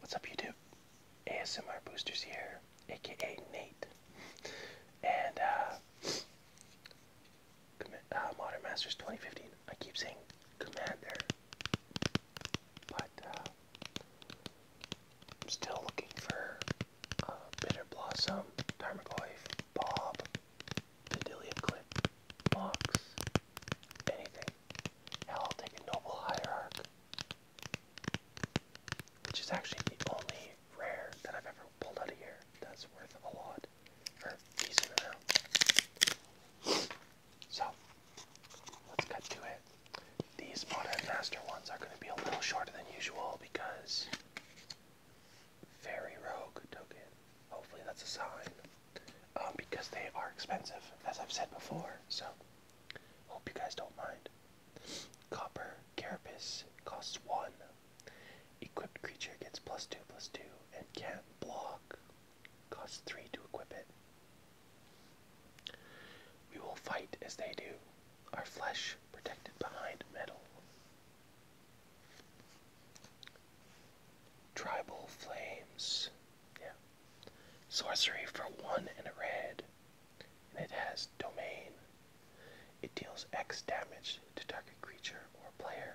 What's up YouTube? ASMR Boosters here, aka Nate. And uh, uh Modern Masters 2015. I keep saying Commander, but uh, I'm still looking for uh, Bitter Blossom, Tarmogoyf, Bob, Bedelia Clip, Mox, anything. Hell, I'll take a Noble Hierarch. Which is actually the only rare that I've ever pulled out of here that's worth a lot or a decent amount. So let's cut to it. These modern master ones are going to be a little shorter than usual because Fairy rogue token. Hopefully that's a sign. Um, because they are expensive, as I've said before. So Hope you guys don't mind. Copper Carapace costs one. Equipped creature gets plus two plus two and can't block. Costs three to equip it. We will fight as they do, our flesh protected behind metal. Tribal Flames yeah. Sorcery for one and a red. And it has domain. It deals X damage to target creature or player,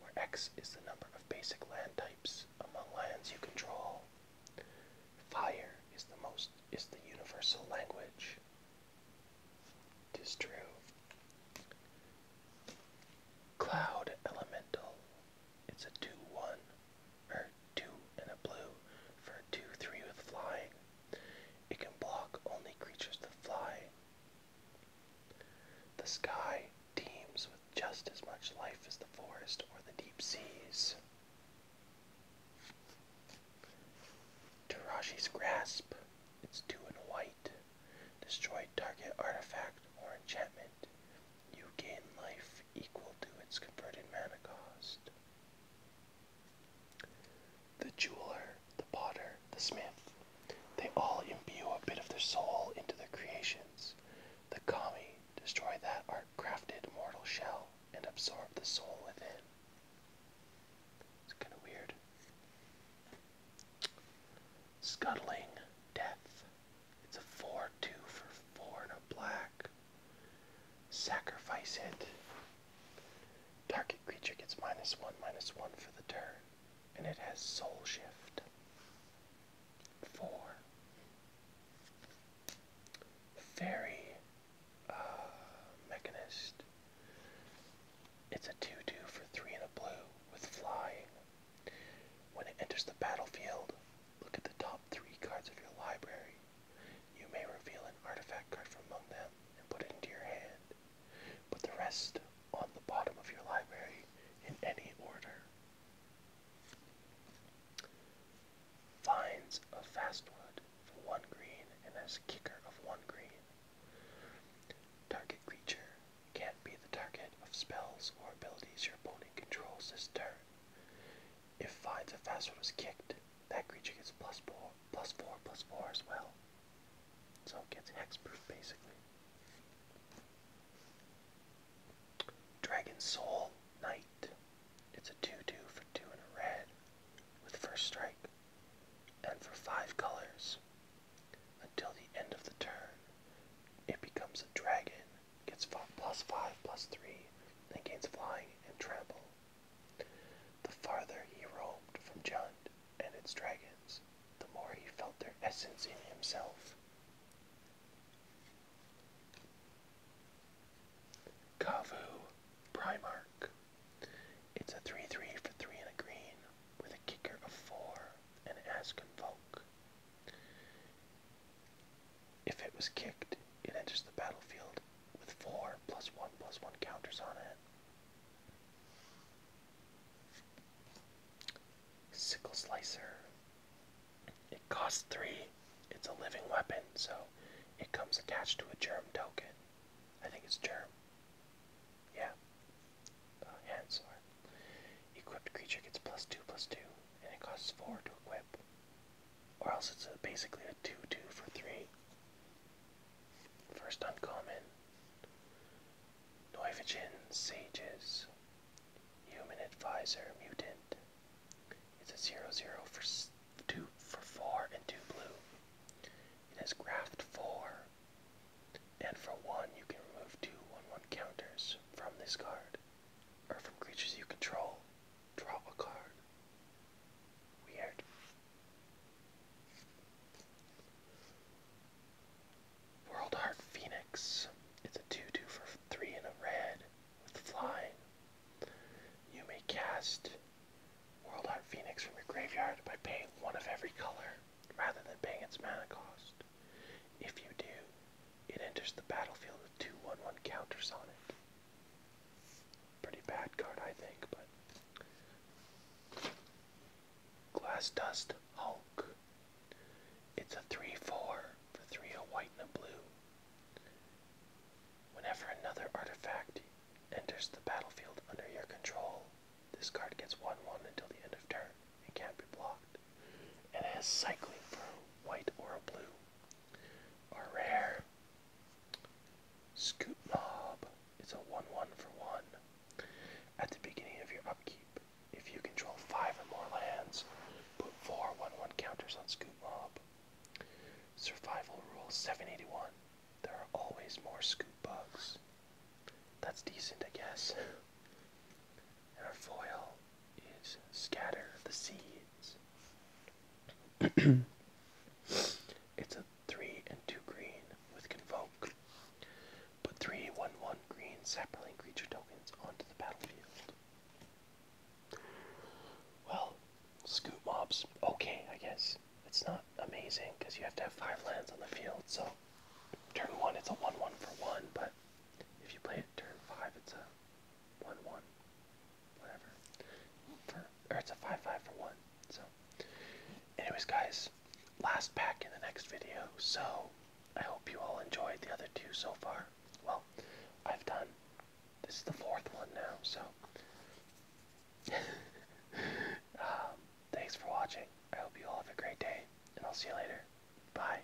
where X is the number of basic land types among lands you control. Fire is the most is the universal language. Tis true. Cloud Elemental. It's a 2 1 two and a blue for a 2 3 with flying. It can block only creatures that fly. The sky teems with just as much life as the forest or the deep seas. Tarashi's Grasp. It's two and white. Destroy target artifact or enchantment. You gain life equal to its converted mana cost. The jeweler, the potter, the smith, they all imbue a bit of their soul into their creations. The kami destroy that art crafted mortal shell and absorb the soul within. It's kind of weird. Scuttling, death. It's a 4 2 for 4 and a black. Sacrifice it. Target creature gets minus 1, minus 1 for the turn. And it has soul shift. 4. Fairy uh, Mechanist. It's a 2 2 a blue with flying. When it enters the battlefield, look at the top three cards of your library. You may reveal an artifact card from among them and put it into your hand. Put the rest on the bottom of your library in any order. Finds of Fastwood for one green and has a kicker of one green. Target creature can't be the target of spells or abilities your opponent controls this turn. If Fides or Faster was kicked, that creature gets plus four, plus four, plus four as well. So it gets hexproof basically. Dragon Soul Knight. It's a 2-2 for 2 and a red with first strike. And for 5 colors, until the end of the turn, it becomes a dragon gets plus 5 plus 3 then gains flying and trample. The farther he roamed from Jund and its dragons, the more he felt their essence in himself. Kavu Primarch. It's a 3 3 for 3 and a green with a kicker of 4 and Asconvoke. If it was kicked, it enters the battlefield with four plus one plus one counters on it. Sickle Slicer. It costs three. It's a living weapon, so it comes attached to a germ token. I think it's germ. Yeah. Uh, Equipped creature gets plus two plus two and it costs 4 to equip. Or else it's basically a 2 2 for 3. First uncommon Neuvagen Sages, Human Advisor Mutant. It's a zero-zero for, two, for 4 and 2 blue. It has graft 4, and for 1 you can remove two one-one counters from this card or from creatures you control, draw a card. Weird. World Heart Phoenix. It's a 2 2 for 3 and a red with flying. You may cast World Heart Phoenix from your graveyard by paying one of every color rather than paying its mana cost. If you do, it enters the battlefield with two 1 1 counters on it. Pretty bad card, I think, but. Glass Dust Hulk. It's a 3 4 for 3 a white and a blue. Whenever another artifact enters the battlefield under your control, this card gets 1 1 until the end of turn. It can't be blocked. It has cycling for white or blue. Are rare. Scoop Mob. It's a 1 1 for 1. At the beginning of your upkeep, if you control 5 or more lands, put 4 1 1 counters on Scoop Mob. Survival Rule 781. There are always more Scoop Bugs. That's decent, I guess. Our foil is scatter the seeds. it's a 3 and 2 green with Convoke. Put three one one green sapling creature tokens onto the battlefield. Well, scoot mobs, okay, I guess. It's not amazing because you have to have 5 lands on the field, so turn 1 it's a 1 1 for 1, but if you play it turn 5, it's a one one, whatever. For, or it's a five five for one. So, anyways, guys, last pack in the next video. So, I hope you all enjoyed the other two so far. Well, I've done. This is the fourth one now. So, um, thanks for watching. I hope you all have a great day, and I'll see you later. Bye.